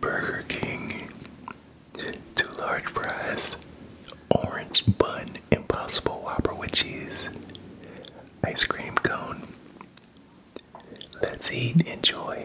Burger King, two large fries, orange bun, impossible whopper with cheese, ice cream cone. Let's eat, enjoy.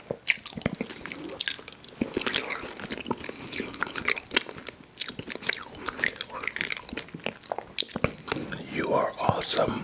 You are awesome.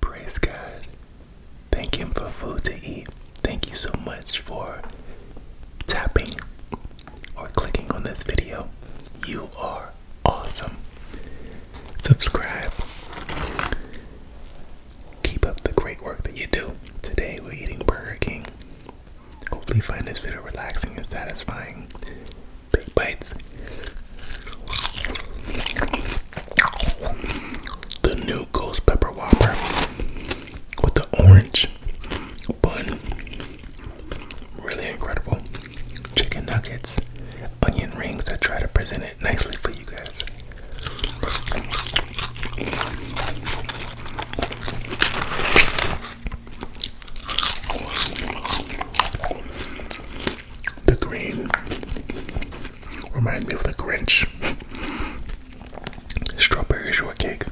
Praise God. Thank Him for food to eat. Thank you so much for tapping or clicking on this video. You are awesome. Subscribe. Keep up the great work that you do. Today we're eating Burger King. Hopefully find this video relaxing and satisfying. Big bites. The new Ghost Pepper Whopper with the orange bun, really incredible. Chicken nuggets, onion rings. I try to present it nicely for you guys. The green reminds me of the Grinch. Strawberry shortcake.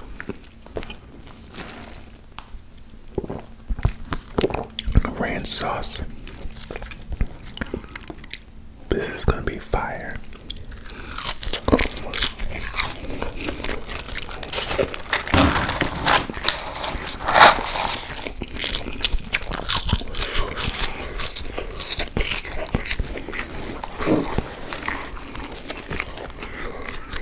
Ranch sauce. This is gonna be fire.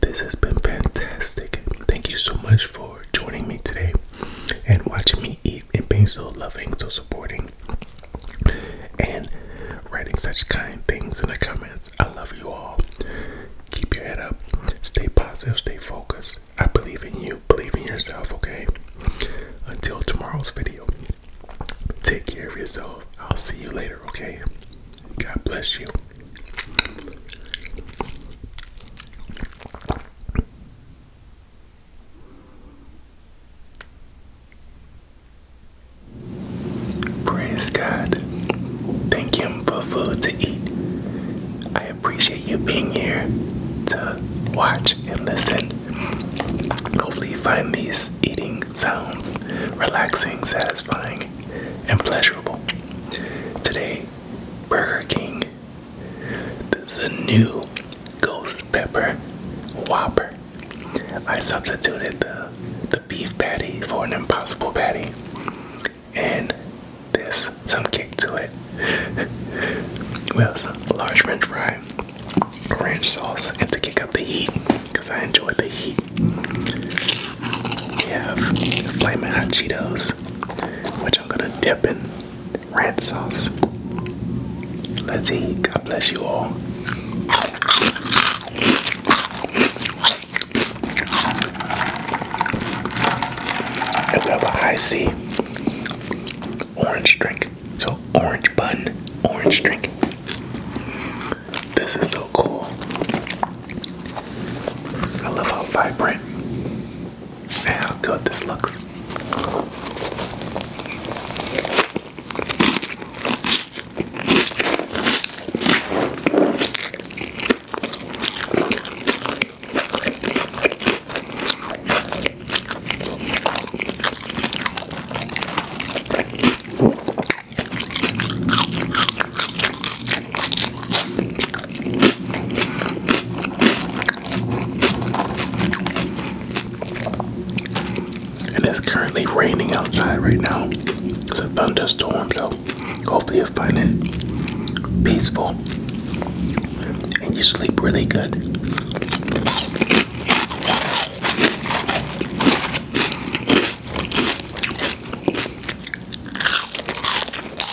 This has been fantastic. Thank you so much for joining me today and watching me eat and being so loving, so supporting, and writing such kind things in the comments. I love you all. Keep your head up, stay positive, stay focused. I believe in you, believe in yourself, okay? Until tomorrow's video, take care of yourself. I'll see you later, okay? God bless you. Praise God. Thank Him for food to eat. I appreciate you being here to watch and listen. Hopefully, you find these eating sounds relaxing, satisfying, and pleasurable. Today, Burger King this is a new ghost pepper whopper. I substituted the the beef patty for an impossible patty. And this some kick to it. well, some large french fry, ranch sauce, and to kick up the heat, because I enjoy the heat. We have flaming hot Cheetos, which I'm gonna dip in red sauce. Let's eat. God bless you all. And we a high C orange drink. So orange bun, orange drink. This is so cool. I love how vibrant See how good this looks. And it's currently raining outside right now. It's a thunderstorm, so hopefully you'll find it peaceful and you sleep really good.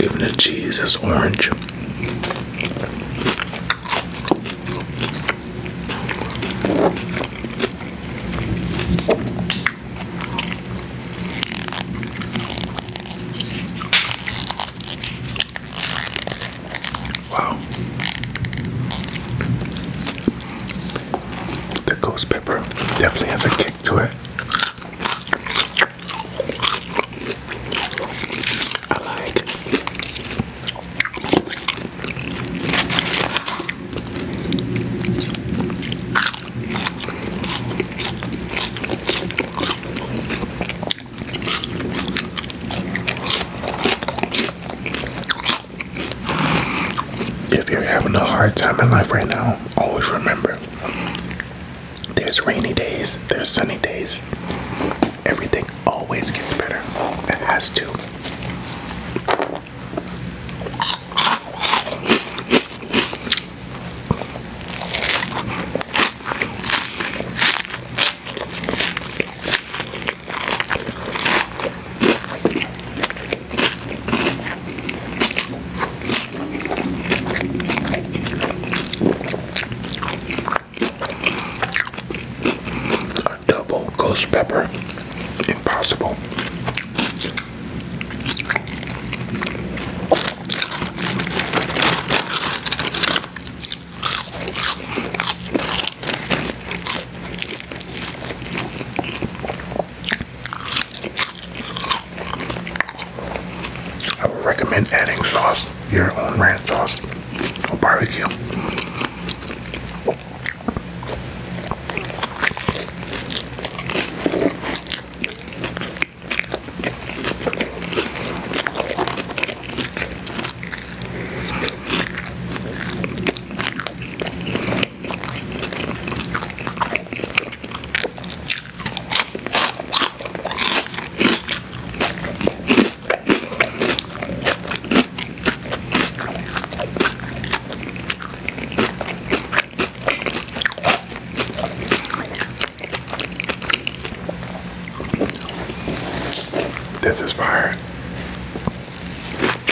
Even the cheese is orange. Wow. The ghost pepper definitely has a kick to it. If you're having a hard time in life right now, always remember there's rainy days, there's sunny days. Everything always gets better. It has to. A double ghost pepper, impossible. I would recommend adding sauce, your own ranch sauce or barbecue. This is fire.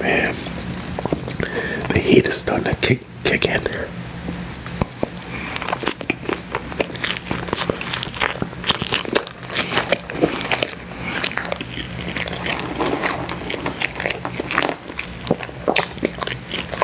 Man, the heat is starting to kick kick in.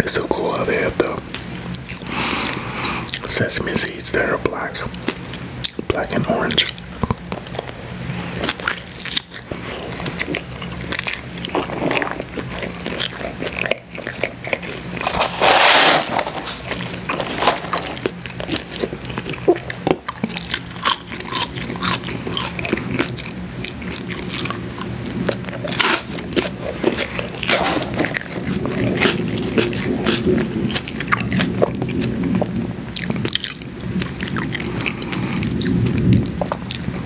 It's so cool how they have the sesame seeds that are black, black and orange.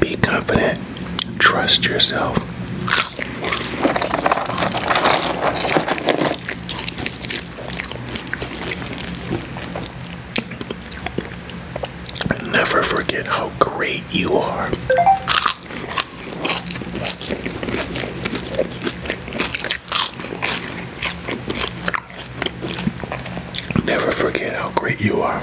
Be confident, trust yourself. Never forget how great you are. Never forget how great you are.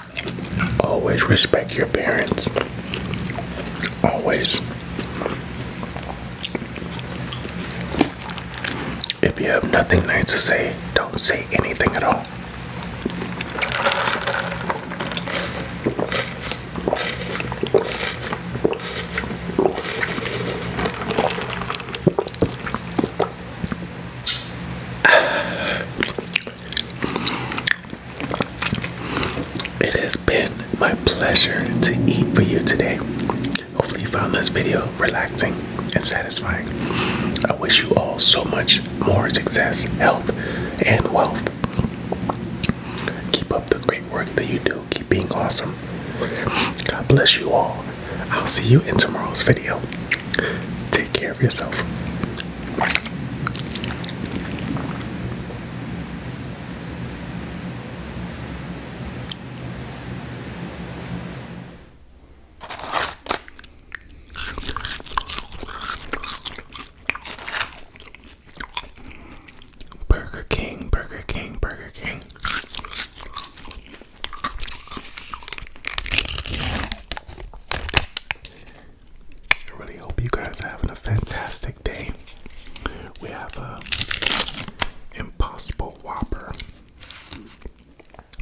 Always respect your parents. Always. If you have nothing nice to say, don't say anything at all. It has been my pleasure to eat for you today. Hopefully, you found this video relaxing and satisfying. I wish you all so much more success, health, and wealth. Keep up the great work that you do. Keep being awesome. God bless you all. I'll see you in tomorrow's video. Take care of yourself. Burger King, Burger King, Burger King. I really hope you guys are having a fantastic day. We have a um, impossible whopper.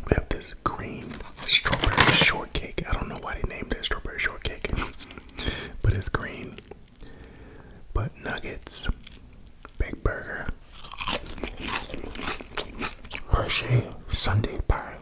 We have this green strawberry shortcake. I don't know why they named it strawberry shortcake, but it's green. But nuggets, big burger, Hershey Sunday pie.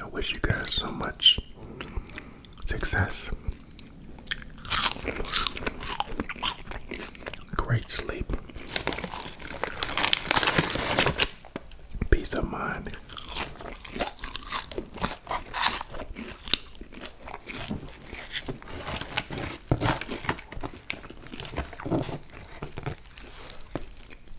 I wish you guys so much success. Great sleep. Peace of mind.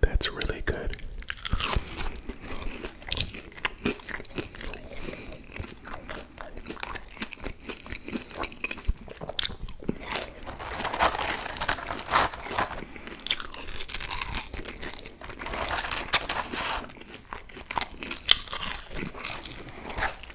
That's really good.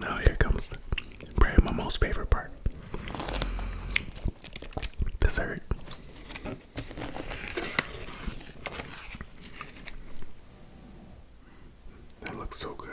Now here comes probably my most favorite part. Dessert. That looks so good.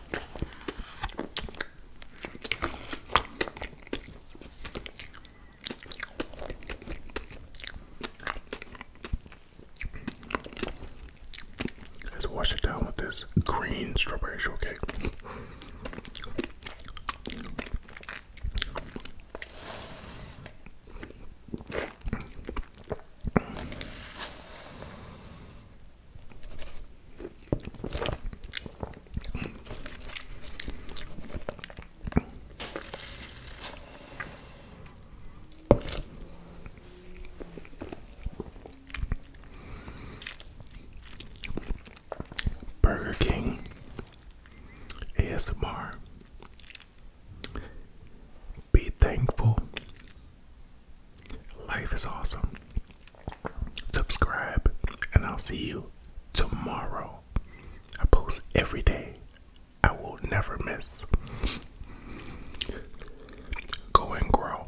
Let's wash it down with this green strawberry shortcake. Burger King ASMR. Be thankful Life is awesome. Subscribe, and I'll see you tomorrow. I post every day, I will never miss. Go and grow.